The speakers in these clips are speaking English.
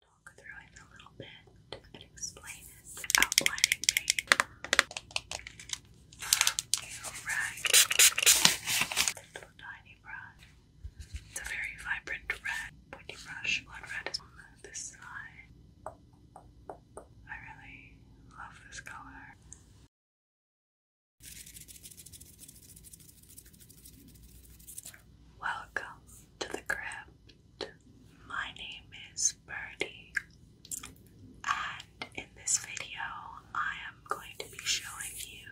talk through it a little bit and explain it. Outlining page. Alright. little tiny brush. It's a very vibrant red. Pointy brush. Blood red is on this side. I really love this color. Welcome to the crypt my name is Birdie, and in this video, I am going to be showing you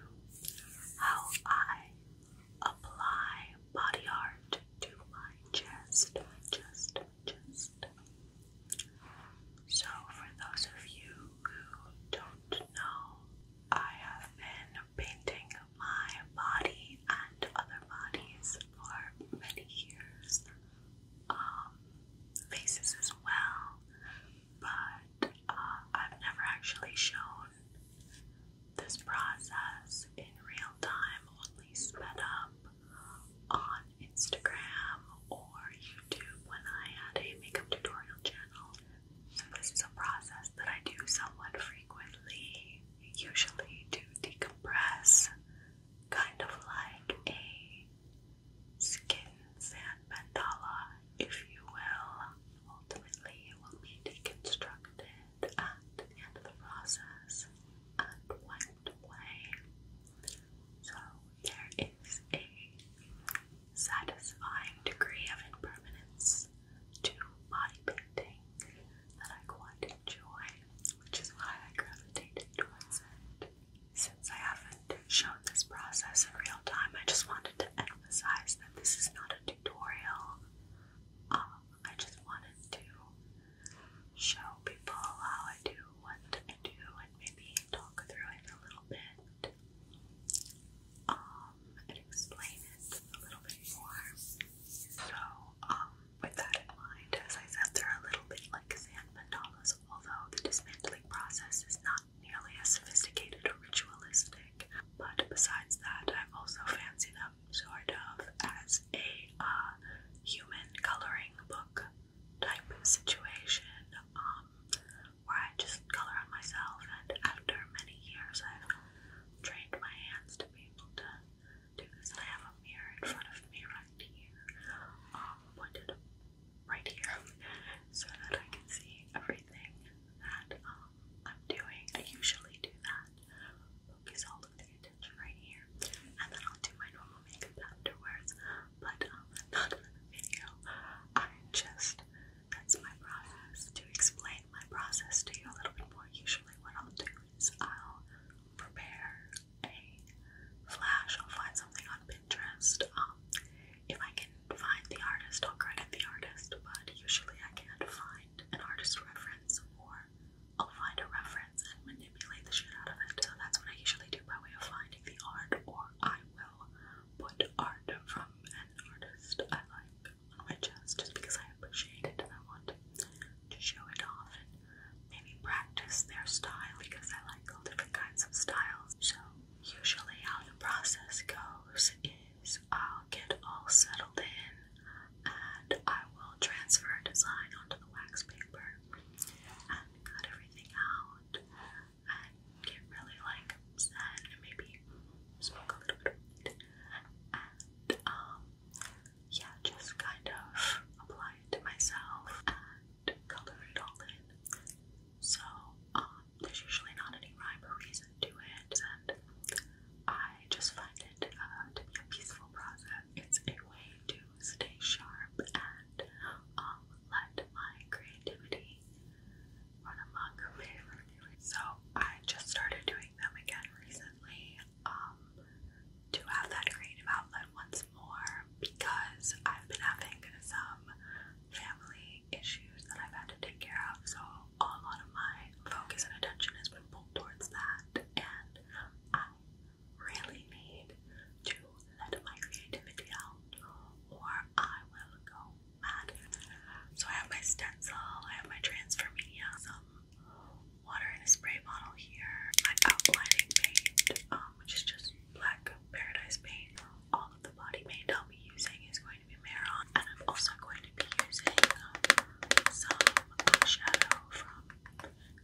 how I apply body art to my chest, my chest, my chest. So, for those of you who don't know, I have been painting my body and other bodies for many years, um, faces as well, but uh, I've never actually shown this process in real time, only sped up on Instagram or YouTube when I had a makeup tutorial channel. So, this is a process that I do somewhat frequently usually to decompress, kind of like a skin mandala, if you will. Ultimately, it will be deconstructed at the end of the process and wiped away. So, there is a satisfying degree of impermanence to body painting that I quite joy, which is why I gravitated towards it. Since I haven't shown this process in real time, I just wanted to emphasize that this is not a tutorial. Um, I just wanted to show people how I do what I do and maybe talk through it a little bit um, and explain it a little bit more. So, um, with that in mind, as I said, they're a little bit like sand mandalas, although the dismantling process is not nearly as sophisticated or ritualistic. But besides that, I also fancy them sort of as a uh, human coloring book type situation, um, where I just color on myself, and after many years, I've trained my hands to be able to do is I have a mirror in front of me right here, um, pointed right here, so that I can see everything that um, I'm doing. I usually do that, focus all of the attention right here, and then I'll do my normal makeup afterwards, but um, not in the video. I just, that's my process. To explain my process to you a little bit more, usually what I'll do I'll prepare a flash. I'll find something on Pinterest. Um, if I can find the artist, I'll credit the artist, but usually I can't find an artist reference or I'll find a reference and manipulate the shit out of it. So that's what I usually do by way of finding the art, or I will put art from an artist I like on my chest just because I appreciate it and I want to show it off and maybe practice their style because I like all different kinds of styles. So, usually, how the process goes is I'll get all settled in and I will transfer a design onto the wax paper and cut everything out and get really like zen and maybe smoke a little bit and um yeah, just kind of apply it to myself and color it all in. So, um, there's usually not any rhyme or reason to it, and I just find it uh, to be a peaceful process. It's a way to stay sharp and um, let my creativity run among So, I just started doing them again recently um, to have that creative outlet once more because I've been having some family issues that I've had to take care of. So a lot of my focus and attention has been pulled towards that, and I really need to let my creativity out, or I will go mad. So I have my stencil, I have my transfer media, water in a spray bottle here. My outlining paint, um, which is just black paradise paint. All of the body paint I'll be using is going to be Maron, and I'm also going to be using um, some eyeshadow from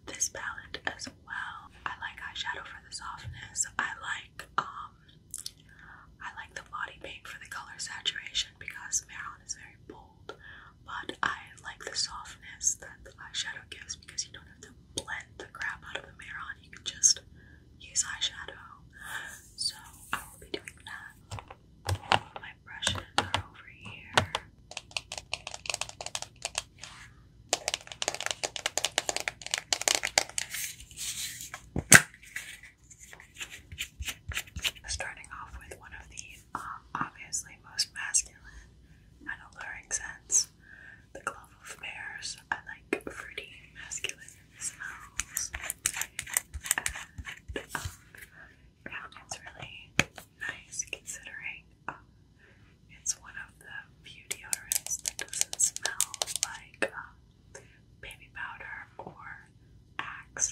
this palette as well. I like eyeshadow for the softness. I like um, I like the body paint for the color saturation because Maron is very bold but I like the softness that the eyeshadow gives because you don't have to blend the crap out of the mirror on. You can just use eyeshadow. So I will be doing that. my brushes are over here. Starting off with one of these. Um, obviously most masculine and alluring sense. The glove of bears. I like fruity, masculine smells. Um, and it's really nice considering um, it's one of the few deodorants that doesn't smell like baby powder or Axe.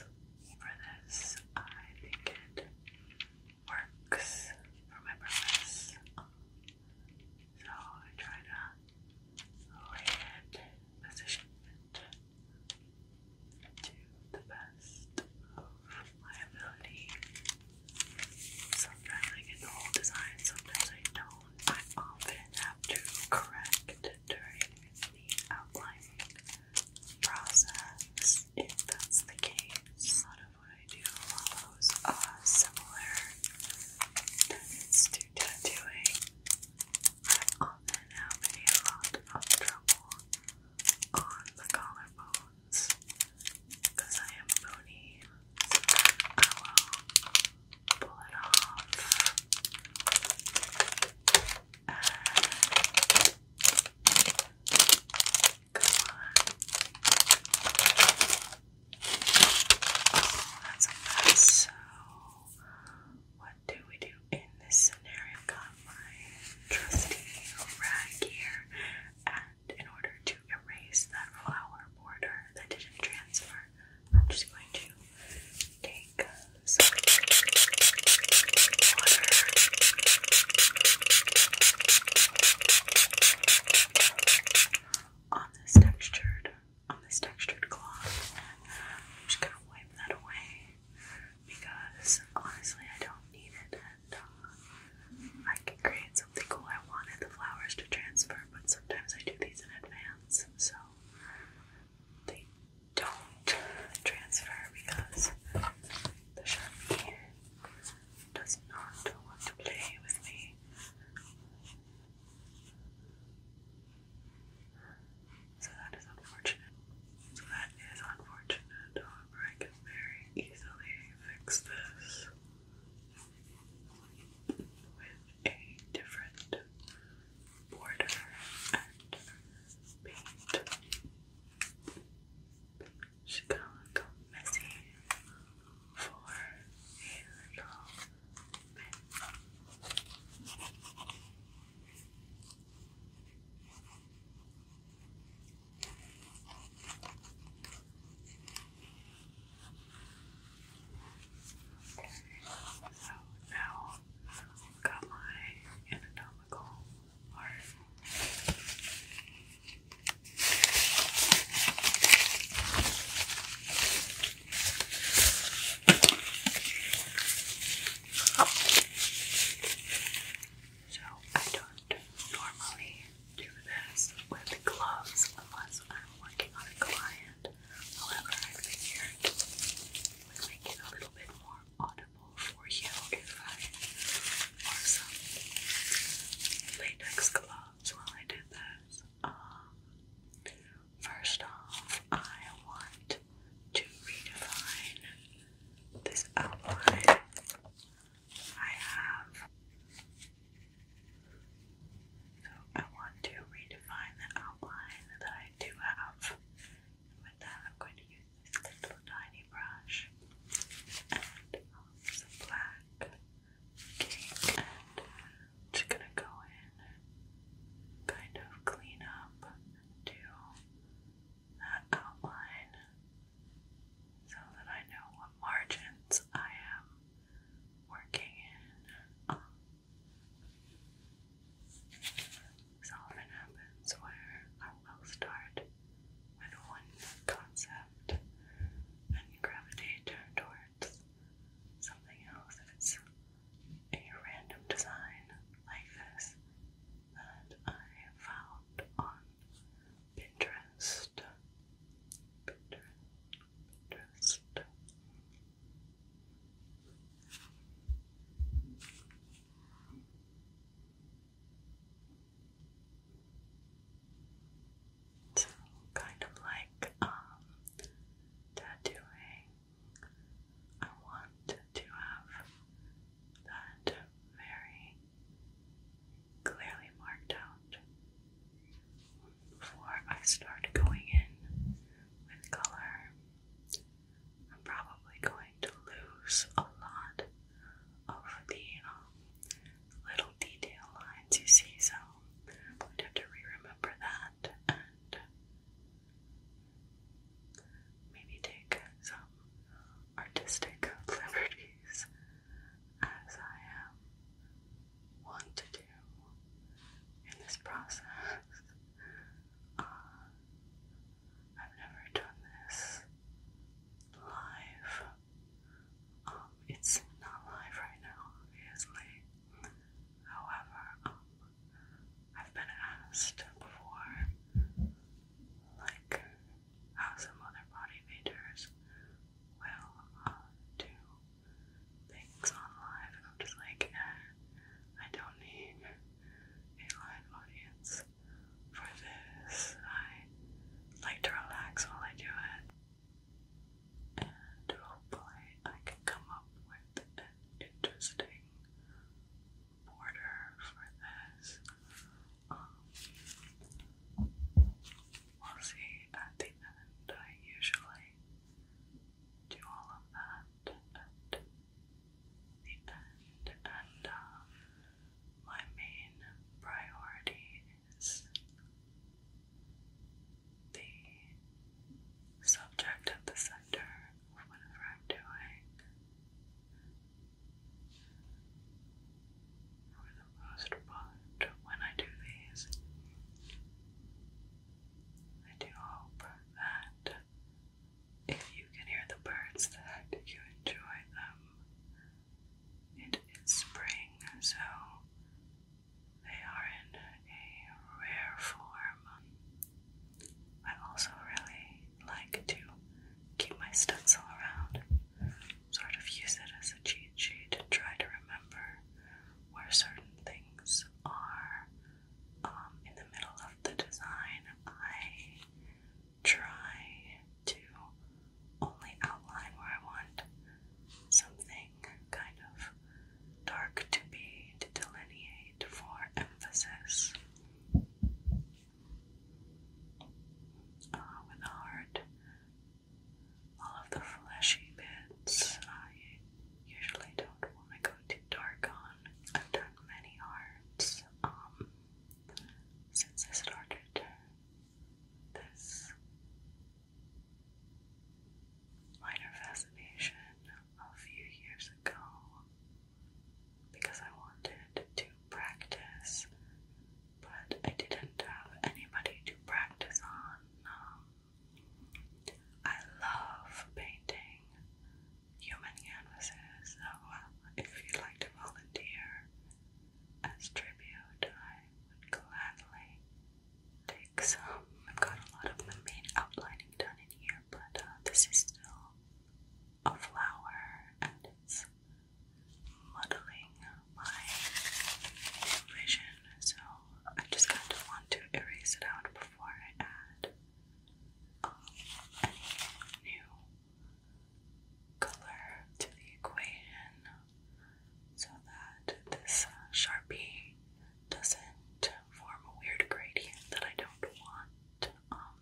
For this, I think it works for my purpose. So I try to lay it, position it to the best of my ability. Sometimes I get the whole design, sometimes I don't. I often have to correct during the outlining process if that's the case. A lot of what I do follows a similar methods to tattooing. I often have a lot of trouble on the collarbones because I am bony. I will pull it off. Uh, come So, what do we do in this scenario? Got my trusty rag here, and in order to erase that flower border that didn't transfer, I'm just going to um, um, take uh, some water on this textured on this textured cloth and I'm just gonna wipe that away because honestly I don't need it and uh, I can create something cool. I wanted the flowers to transfer but sometimes I do these in advance so they don't transfer because the Sharpie does not want to play with me. So that is unfortunate. So that is unfortunate. However, I can very easily fix this with a different border and Paint She's going messy for a little bit. Okay, so now I've got my anatomical or so I don't normally do this with gloves unless I'm working on a client. However, I figured it would make a little bit more audible for you if I wore some latex gloves while I did this. Um, first off, I want to redefine this outline. I have. So I want to redefine the outline that I do have. And with that, I'm going to use this little tiny mini brush and some black. Okay, and just gonna go in and kind of clean up and that outline so that I know what margins I am working in. Um, so often happens where will start with one concept and gravitate towards something else. a random design like this that I found on Pinterest, Pinterest. So kind of like um, tattooing. I want to have that very clearly marked out before I start going in with color. I'm probably going to lose a lot over the um, little detail lines you see, so I'm going to have to re-remember that and maybe take some artistic liberties as I am um, want to do in this process. Uh, I've never done this live. Um, it's not live right now, obviously. However, um, I've been asked before, like, how some other body will uh, do things on live, and I'm just like, eh, I don't need a live audience for this. I like to relax while I do it, and hopefully, oh I can come up with an interesting border for this. Um, we'll see at the end. I usually do all of that at the end, and um, my main priority is the subject at the center of whatever I'm doing. For the most part, when I do these, I do hope that if you can hear the birds, that you enjoy them it is spring, so they are in a rare form. I also really like to keep my stencil around, sort of use it as a cheat sheet to try to remember where certain things are. Um, in the middle of the design, I try to only outline where I want something kind of dark to be to delineate for emphasis. Uh, with a all of the fleshy bits I usually don't want to go too dark on. I've done many hearts um, since I started this minor fascination a few years ago because I wanted to practice, but I didn't have anybody to practice on. Um, I love painting human canvases, so uh, if you'd like to volunteer, as tribute, I would gladly take some. I've got a lot of the main outlining done in here, but uh, this is still a flower and it's muddling my vision, so I just kind of want to erase it out before I add um, any new color to the equation so that this uh, Sharpie doesn't form a weird gradient that I don't want. Um,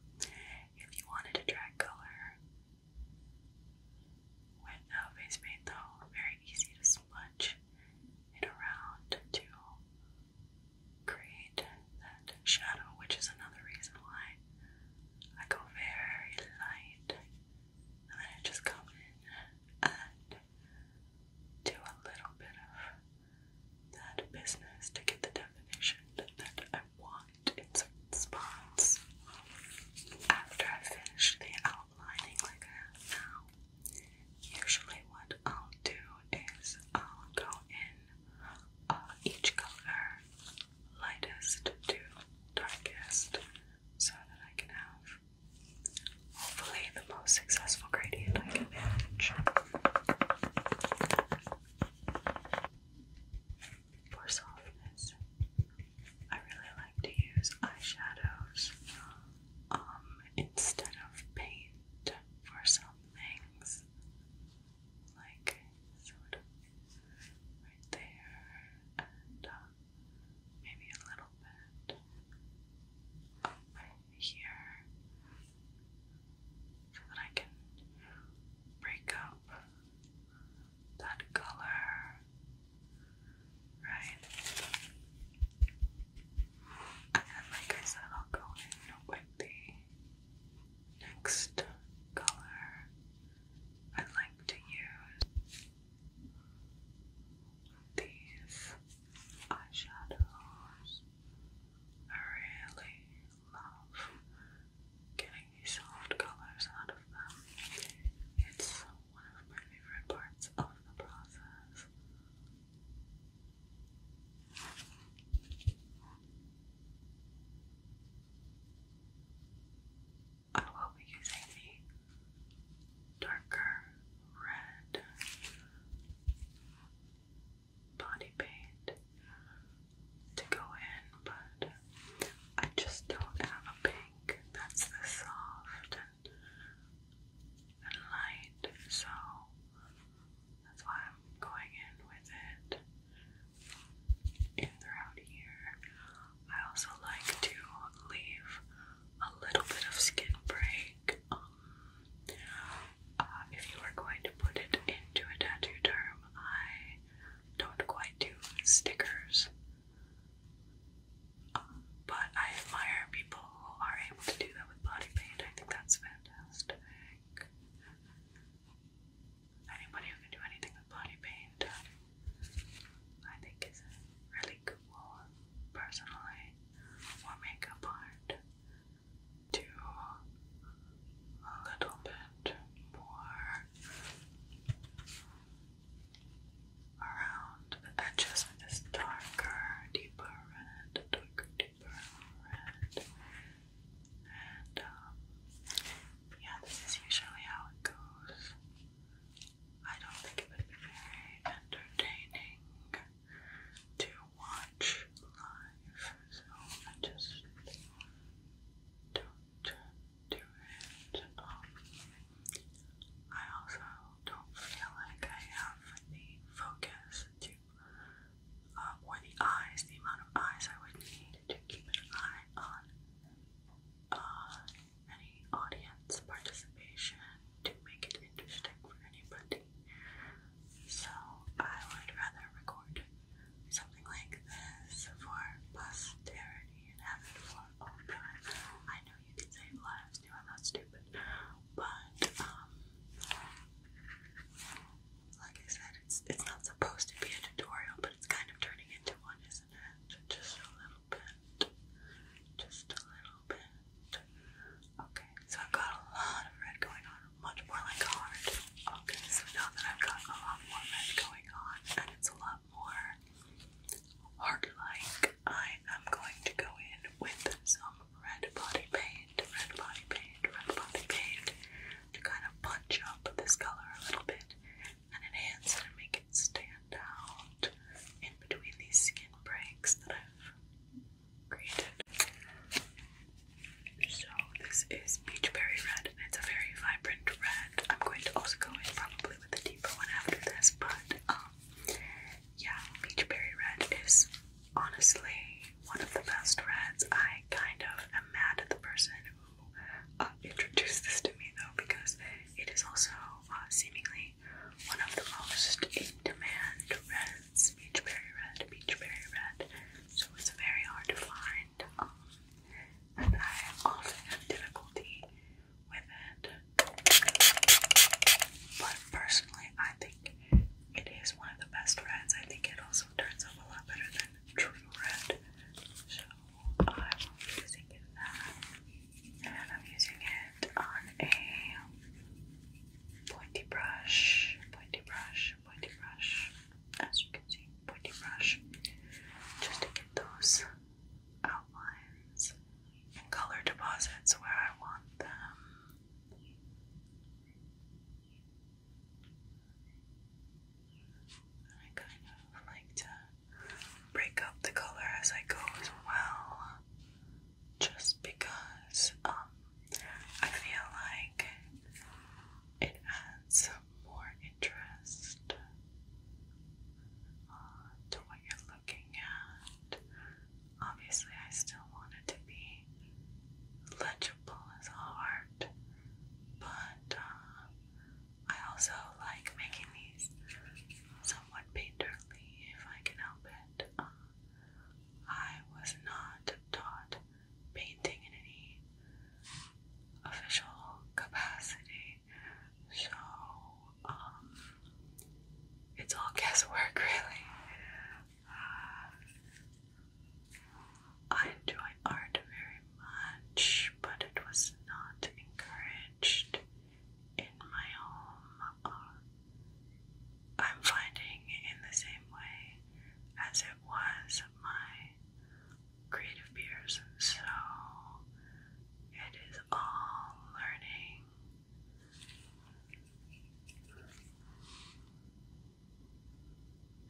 if you wanted to drag color with a face paint though, very easy to smudge it around to create that shadow, which is another reason why I go very light, and then I just come in and do a little bit of that business to get the definition that I want in certain spots. After I finish the outlining like I have now, usually what I'll do is I'll go in uh, each color lightest to darkest so that I can have hopefully the most successful gradient I can manage. For softness, I really like to use eyeshadows um, instead of paint for some things, like sort of right there, and uh, maybe a little bit here, so that I can break up that color, right? And then, like I said, I'll go in with the next color. I like to use these eyeshadows. I really love getting these soft colors out of them. It's one of my favorite parts of the process. I will be using the darker red body paint to go in, but I just don't have a pink that's this soft and, light, so that's why I'm going in with it in throughout here. I also like to leave a little bit of skin break. Um, uh, if you are going to put it into a tattoo term, I don't quite do stickers. Um, but I admire people who are able to do that with body paint. I think that's fantastic anybody who can do anything with body paint, um, I think is a really cool, personally, or makeup art to a little bit more around the edges darker, deeper red, darker, deeper red, and um, yeah, this is usually how it goes. I don't think it would be very entertaining to watch live, so I just don't do it. Um, I also don't feel like I have the focus to, uh, or the eyes, the amount of eyes I would need to keep an eye on uh, any audience participation to make it interesting for anybody. So I would rather record something like this for posterity and have it for all time. I know you can save lives too, I'm not stupid. But um, like I said, it's it's not supposed to be a tutorial, but it's kind of turning into one, just a little bit. Just a little bit. Okay, so I've got a lot of red going on, much more like hard. Okay, so now that I've got a lot more red going on and it's a lot more hard like, I am going to go in with some red body paint, red body paint, red body paint to kind of punch up this color a little bit and enhance it and make it stand out in between these skin breaks that I've created. So this is Peach Berry Red and it's a very vibrant red. I'm going to also go in probably with a deeper one after this, but um yeah, Peach Berry Red is honestly one of the best reds. I kind of am mad at the person who uh, this to me though because it is also uh, seemingly one of the most in demand reds, red, beechberry red. So it's very hard to find, um, and I often have difficulty with it. But personally, I think it is one of the best reds. I think it also turns out a lot better than true red. So I'm using it and I'm using it on a pointy brush, pointy brush, pointy brush, as you can see, pointy brush, just to get those outlines and color deposits where I want them. I kind of like to break up the color as I go as well, just because um, I feel like it adds more interest uh, to what you're looking at. Obviously, I still want it to be legible as art, but uh, I also like making these somewhat painterly if I can help it. Uh, I was not taught painting in any official capacity, so um, it's all guesswork, really. Uh, I enjoy art very much, but it was not encouraged in my home I'm finding in the same way as it was my creative peers. So it is all learning.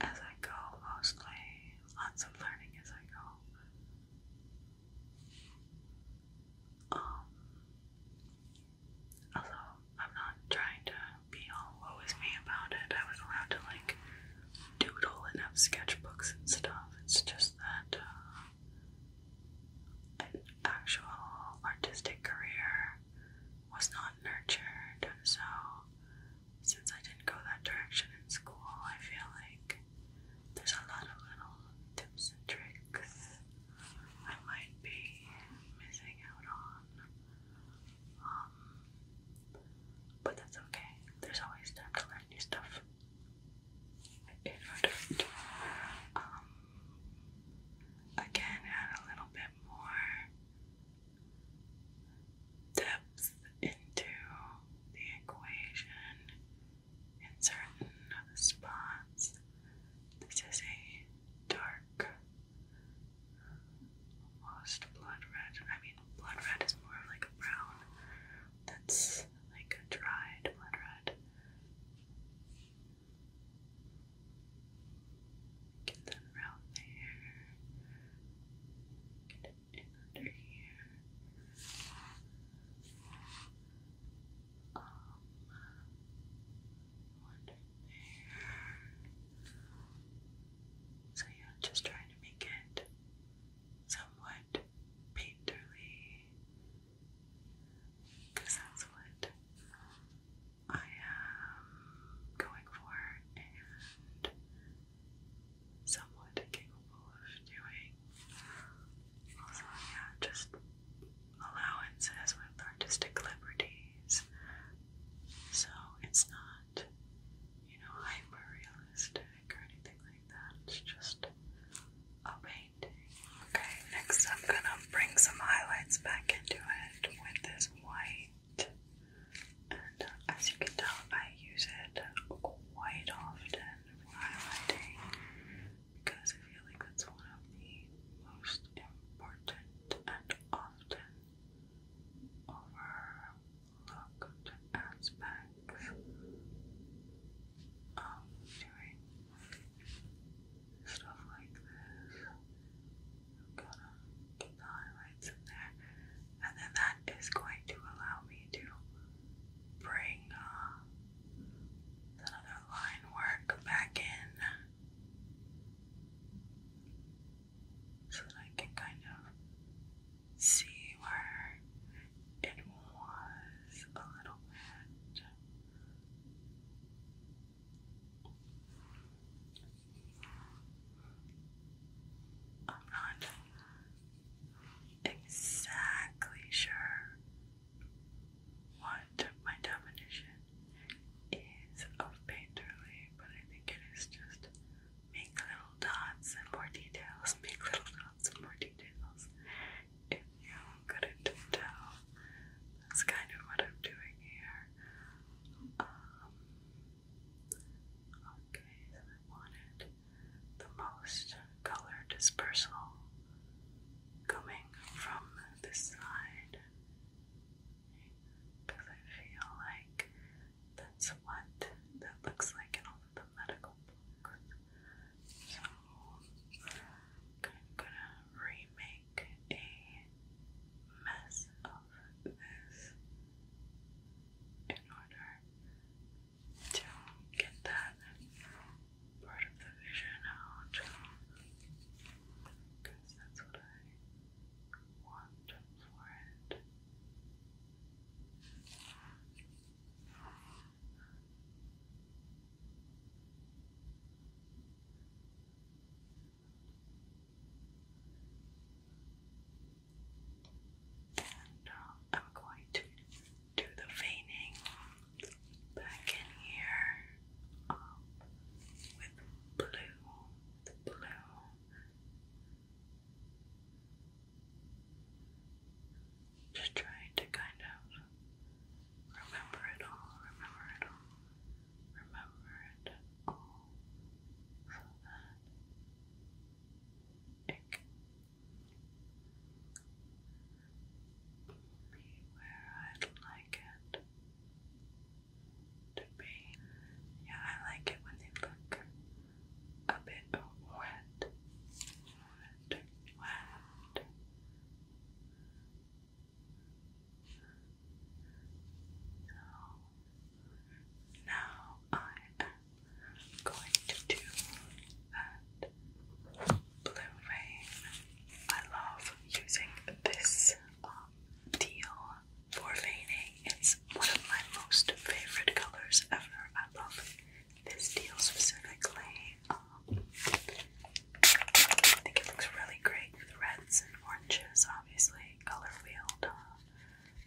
As I go, mostly lots of learning as I go. Um, although I'm not trying to be all woe is me about it, I was allowed to like doodle and have sketchbooks and stuff. It's just that uh, an actual artistic career was not nurtured, and so since I didn't go that direction in school, I feel like there's a lot of little tips and tricks I might be missing out on. Um, but that's okay. There's always time to learn new stuff. If I do um, again, add a little bit more depth into the equation in certain spots. This is a dark, almost blood red. I mean, blood red is more of like a brown that's like a dried blood red. Get them around there it under here. under there. So yeah, just trying to make it somewhat painterly, because that's what I am going for, and somewhat capable of doing. So, yeah, just allowances with artistic liberties. So, it's not, you know, hyper or anything like that. It's just a painting. Okay, next I'm gonna bring some highlights back into it with this white. And as you can tell, I use it quite often highlighting because I feel like that's one of the most important and often overlooked aspects of doing stuff like this. I'm gonna get the um, highlights in there, and then that is going to allow me me to bring uh, that other line work back in so that I can kind of see where it was a little bit. I'm not exactly sure what my definition is of painterly, but I think it is just make little dots and more details, make little dots and more details. If you couldn't tell, that's kind of what I'm doing here. Um, okay, I wanted the most color dispersal coming from this side because I feel like that's what that looks like in all of the medical books. So I'm gonna remake a mess of this in order to get that part of the vision out because that's what I want for it. And uh, I'm going to do the veining back in here um, with blue, the blue. Just trying to kind of remember it all, remember it all, remember it all, so that be where I'd like it to be. Yeah, I like it when they look a bit wet, wet, wet. So now I going to do that blue vein. I love using this deal um, for veining. It's one of my most favorite colors ever. I love this teal specifically. Um, I think it looks really great with reds and oranges, obviously, color wheeled.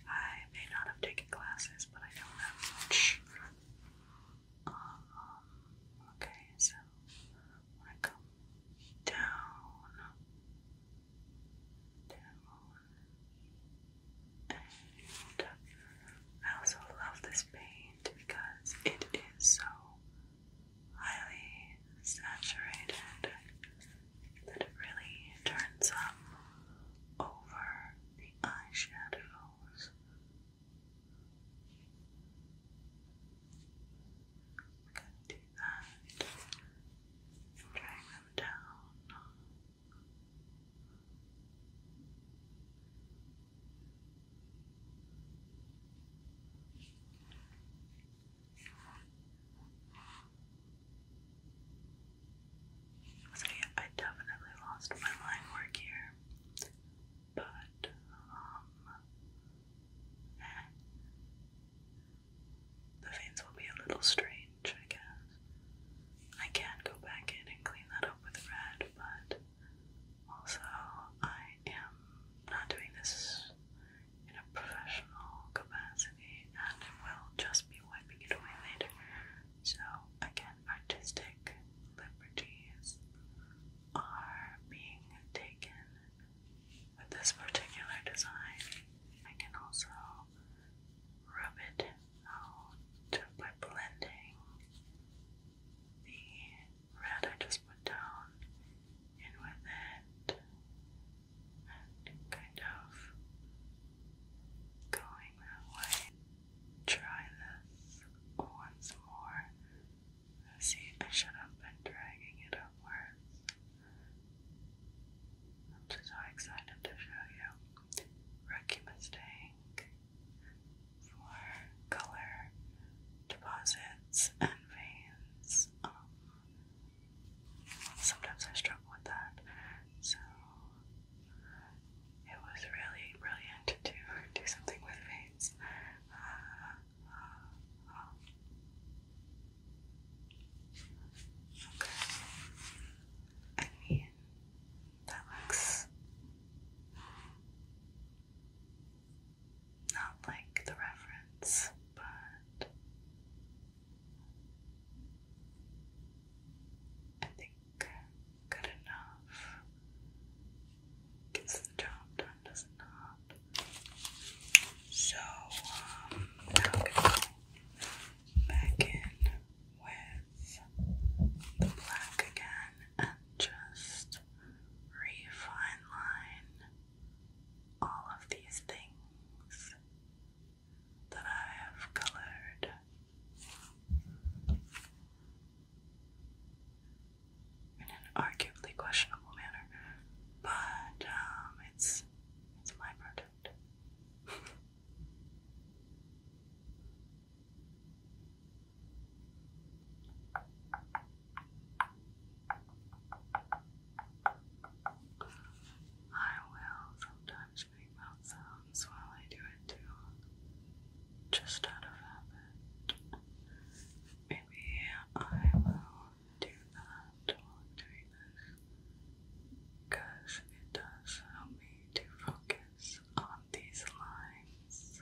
I may not have taken classes, but I don't have much um, okay, so I come down, down, and I also love this paint because it is so highly saturated that it really turns up over the eyeshadows. We're going to do that drag them down. So yeah, I definitely lost my line work here but um, the veins will be a little strange, I guess. I can go back in and clean that up with red, but also I am not doing this in a professional capacity and I will just be wiping it away later. So, again, artistic liberties are being taken with this particular design. I can also rub it out by blending the red I just put down in with it and kind of going that way. Try this once more. See I should have been dragging it upwards. I'm so excited to show you. Rookie for color deposits and veins. Um, sometimes I struggle with that. So it was really brilliant to do something with veins. Uh, uh, okay. I mean, that looks not like the reference, but I think think good enough gets the job done, does it So, um, now going back in with the black again and just refine line all of these things that I have colored in an arguably questionable manner, but um, it's it's my product. I will sometimes make mouth while I do just out of habit. Maybe I will do that while doing this it does help me to focus on these lines.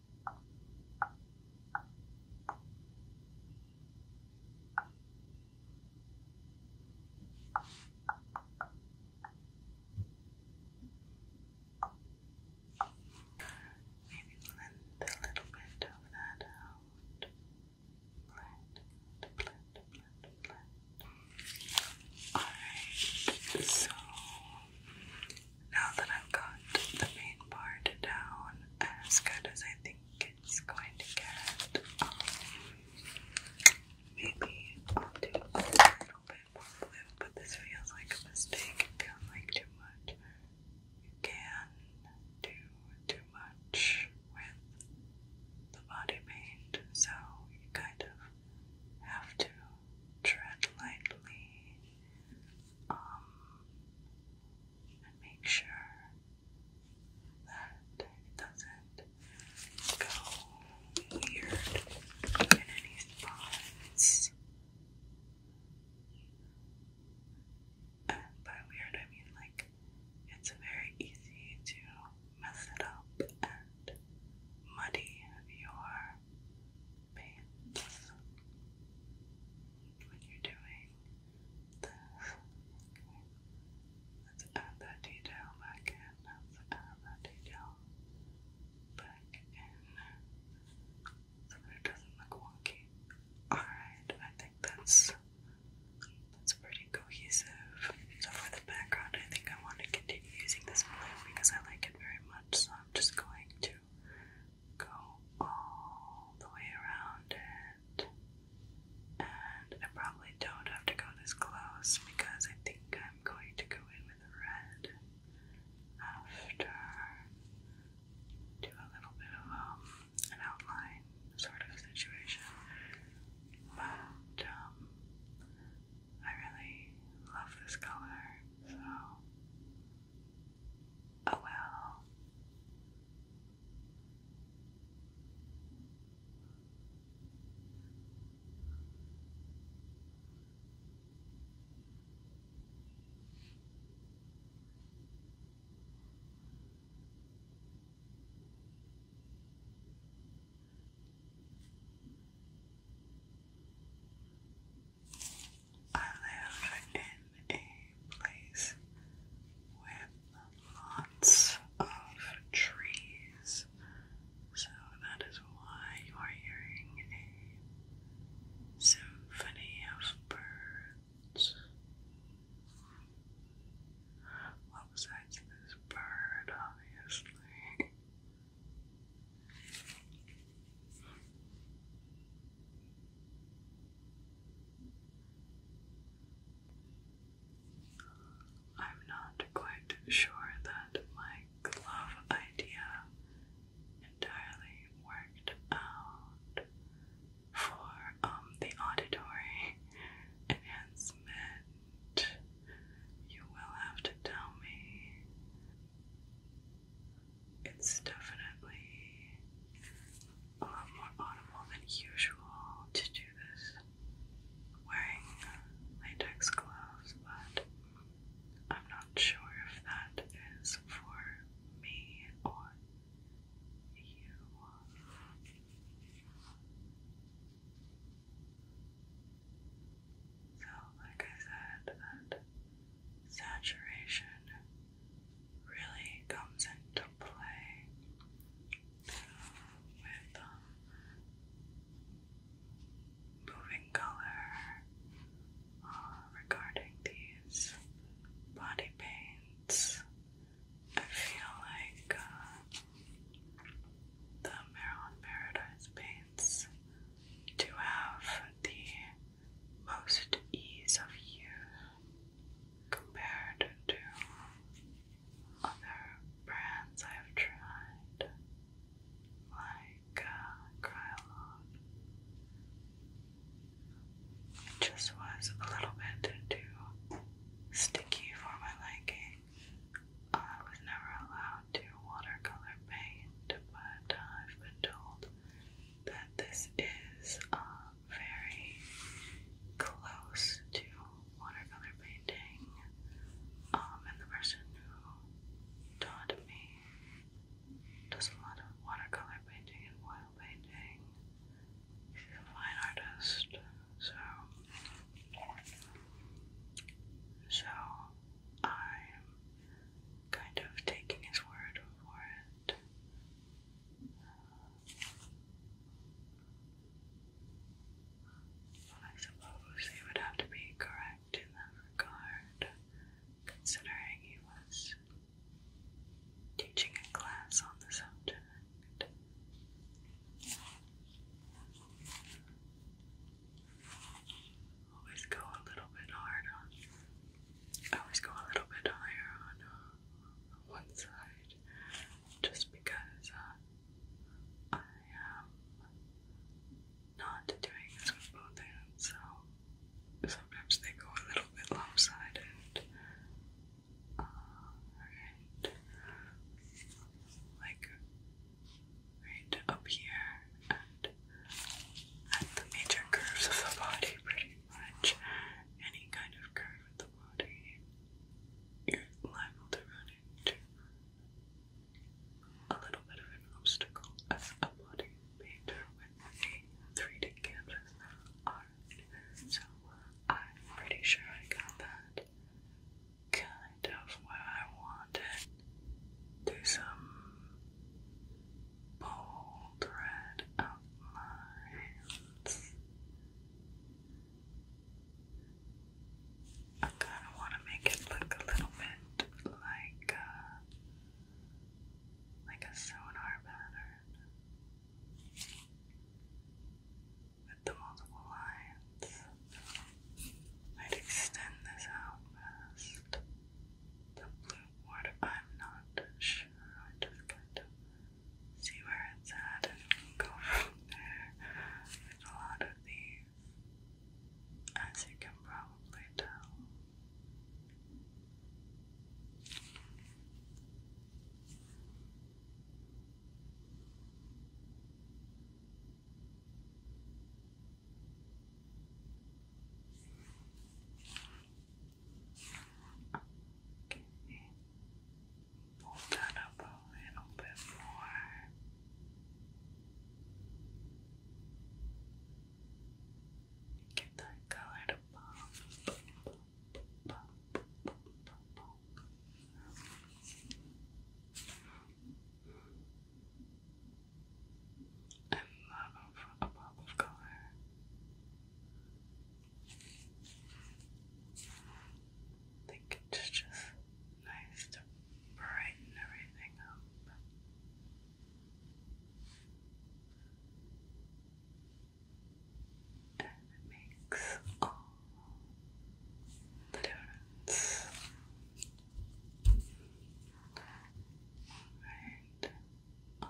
Maybe blend a little bit of that out. Blend, Alright, so now that I've got the main part down as good as I think it's going to get, um, maybe I'll do a little bit more blue, but this feels like a mistake. It feels like too much. You can do too much with the body paint, so you kind of have to tread lightly um, and make sure that it doesn't go weird in any spots. Uh, by weird, I mean like it's very easy to mess it up and muddy your pants when you're doing Let's add that detail back in. Let's add that detail back in so that it doesn't look wonky. Alright, I think that's that's pretty cohesive. So for the background I think I want to continue using this blue because I like it very much, so I'm just going to go all the way around it. And I probably don't have to go this close because I think I'm going to go in with red after do a little bit of um, an outline sort of situation. But um, I really love this color, so Oh well. I live in a place with lots of trees, so that is why you are hearing a symphony of birds. besides this bird, obviously. I'm not quite sure that my glove idea entirely worked out for um, the auditory enhancement. You will have to tell me it's definitely a lot more audible than usual to do this wearing latex gloves, but I'm not sure if that is for me or you. So, like I said, that saturation really comes into play with um, moving color uh, regarding these body paints. I feel like uh, the Maryland Paradise paints do have the most ease of use compared to other brands I've tried, like uh, Krylon. It just was a little bit too sticky for my liking. I was never allowed to watercolor paint, but uh, I've been told that this is uh, very close to watercolor painting, um, and the person who taught me does a lot of watercolor painting and oil painting. She's a fine artist, so so I'm kind of taking his word for it. Well, I suppose he would have to be correct in that regard, considering he was teaching a class on the subject. Always go a little bit hard on I always go a little bit higher on uh, one side just because uh, I am um, not doing this with both hands, so sometimes they go a little bit lopsided. Uh, like right up here at the major curves of the body, pretty much. Any kind of curve of the body, you're liable to run into a little bit of an obstacle as a body painter with a 3D canvas So I'm pretty sure I got that kind of what I wanted. Do some bold red outlines. I kind of want to make it look a little bit like uh, like a sonar pattern with the multiple lines. I'd extend this out past the blue water. I'm not sure. I just like to see where it's at and go from there. a lot of these, as you can probably tell. Okay. Pull that up a little bit more. Get that color pop and love a pop of color. I think it's just nice to brighten everything up. And it makes all the difference. Alright, all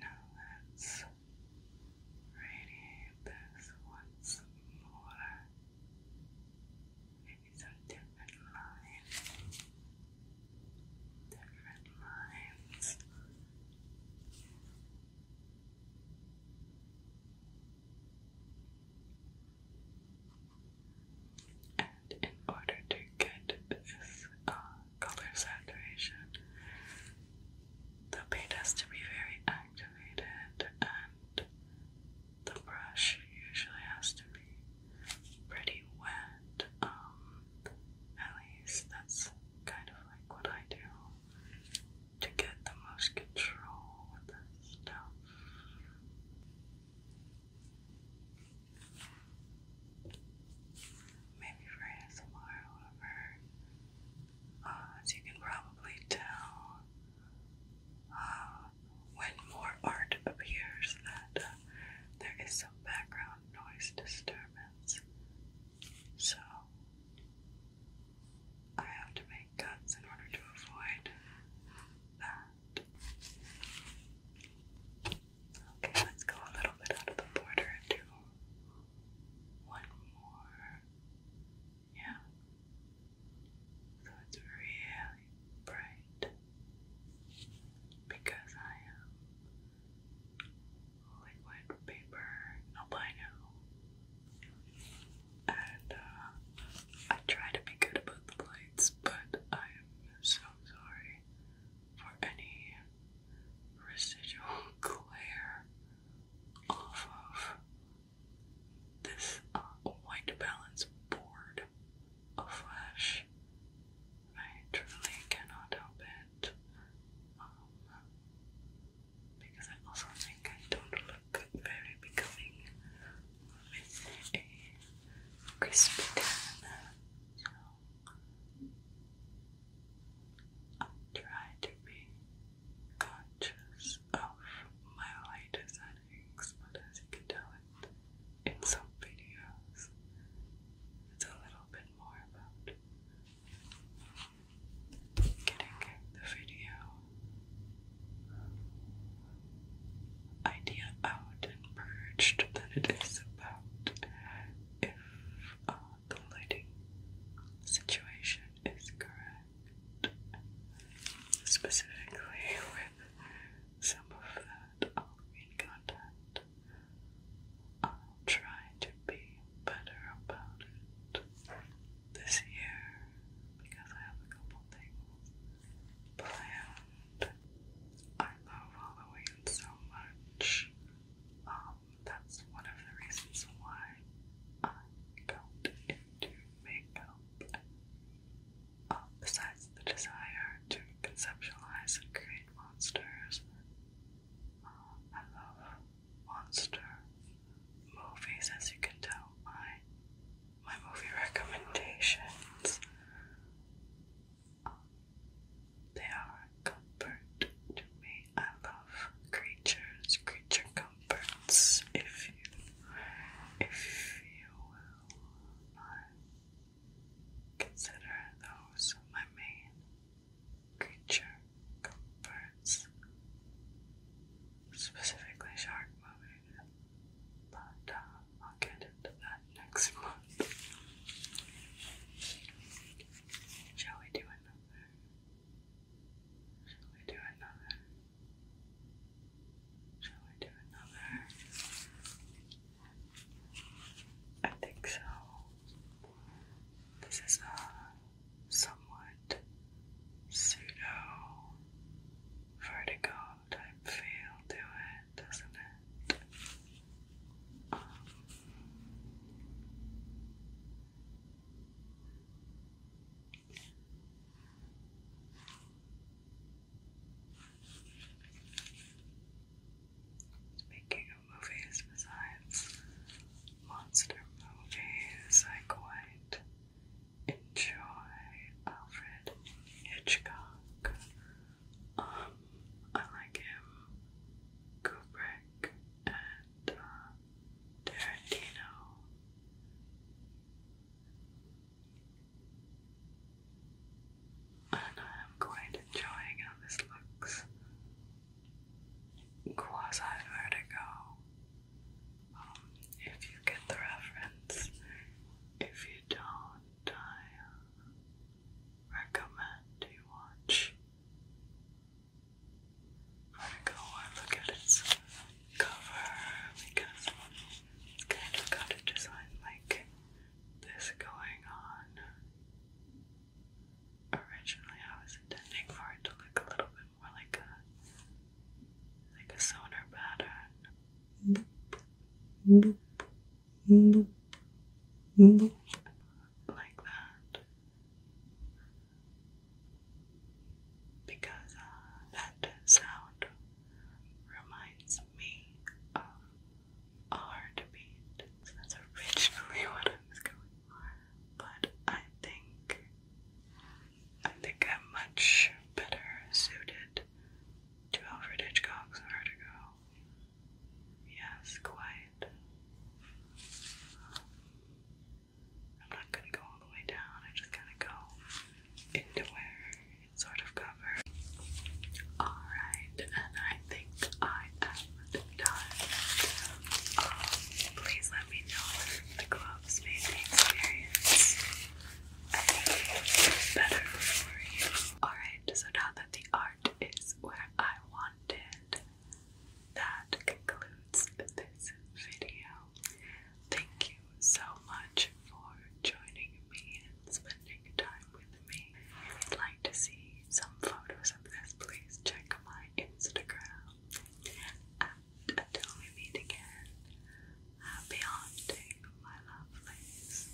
now let's radiate this once more. Maybe some different lines. Different lines in order to get this uh, color saturation, the paint has to be very activated, and the brush usually has to be pretty wet. Um, at least that's kind of like what I do to get the most control with this stuff. Maybe right tomorrow or as uh, you can probably tell, uh, when more art appears, that uh, there is some background noise disturbance. So, I have to make cuts in order to avoid that. Okay, let's go a little bit out of the border and do one more. Yeah. So it's really bright because I am liquid paper, no And uh, I try to be good about the lights, but I am so sorry for any residual glare off of this uh, white balance board of flesh. I truly cannot help it. Um, because I also think I don't look very becoming with a crispy tan. I try to be conscious of my lighter settings, but as you can tell in some videos, it's a little bit more about getting the video idea out and perched it is about if uh, the lighting situation is correct. Specifically, with some of that Halloween uh, content, I'll uh, try to be better about it this year because I have a couple things planned I love Halloween so much. Um, that's one of the reasons why I got into makeup. Um, besides the desire to conceptualize and create monsters, um, I love monster movies. As you can tell, my my movie recommendations they are a comfort to me. I love creatures, creature comforts, if you, if you will uh, consider those my main creature comforts, specifically shark movies. But uh, I'll get into that next month. Shall we do another? Shall we do another? Shall we do another? I think so. This is a uh, somewhat pseudo vertigo type feel to it it, doesn't it? besides monster movies, I quite enjoy Alfred Hitchcock. Um, I like him, Kubrick, and uh, Tarantino. And I'm quite enjoying how this looks. Quasi vertigo. Um, if you get the reference, if you don't, I recommend you watch. Vertigo, I look at its cover because it's kind of got a design like this going on. Originally, I was intending for it to look a little bit more like a like a sonar pattern. Boop. Boop. Like that. Because uh, that sound reminds me of a heartbeat. That's originally what was going for. But I think I think I'm much better suited to Alfred Hitchcock's Vertigo Yes, quite. I'm not gonna go all the way down, I just gotta go into sort of covers. Alright, and I think I am done. Um, please let me know if the gloves made the experience better for you. Alright, so now that the art is where I want That concludes this video. Thank you so much for joining me and spending time with me. If you'd like to see some photos of this, please check my Instagram. And until we meet again, happy haunting, my lovelies.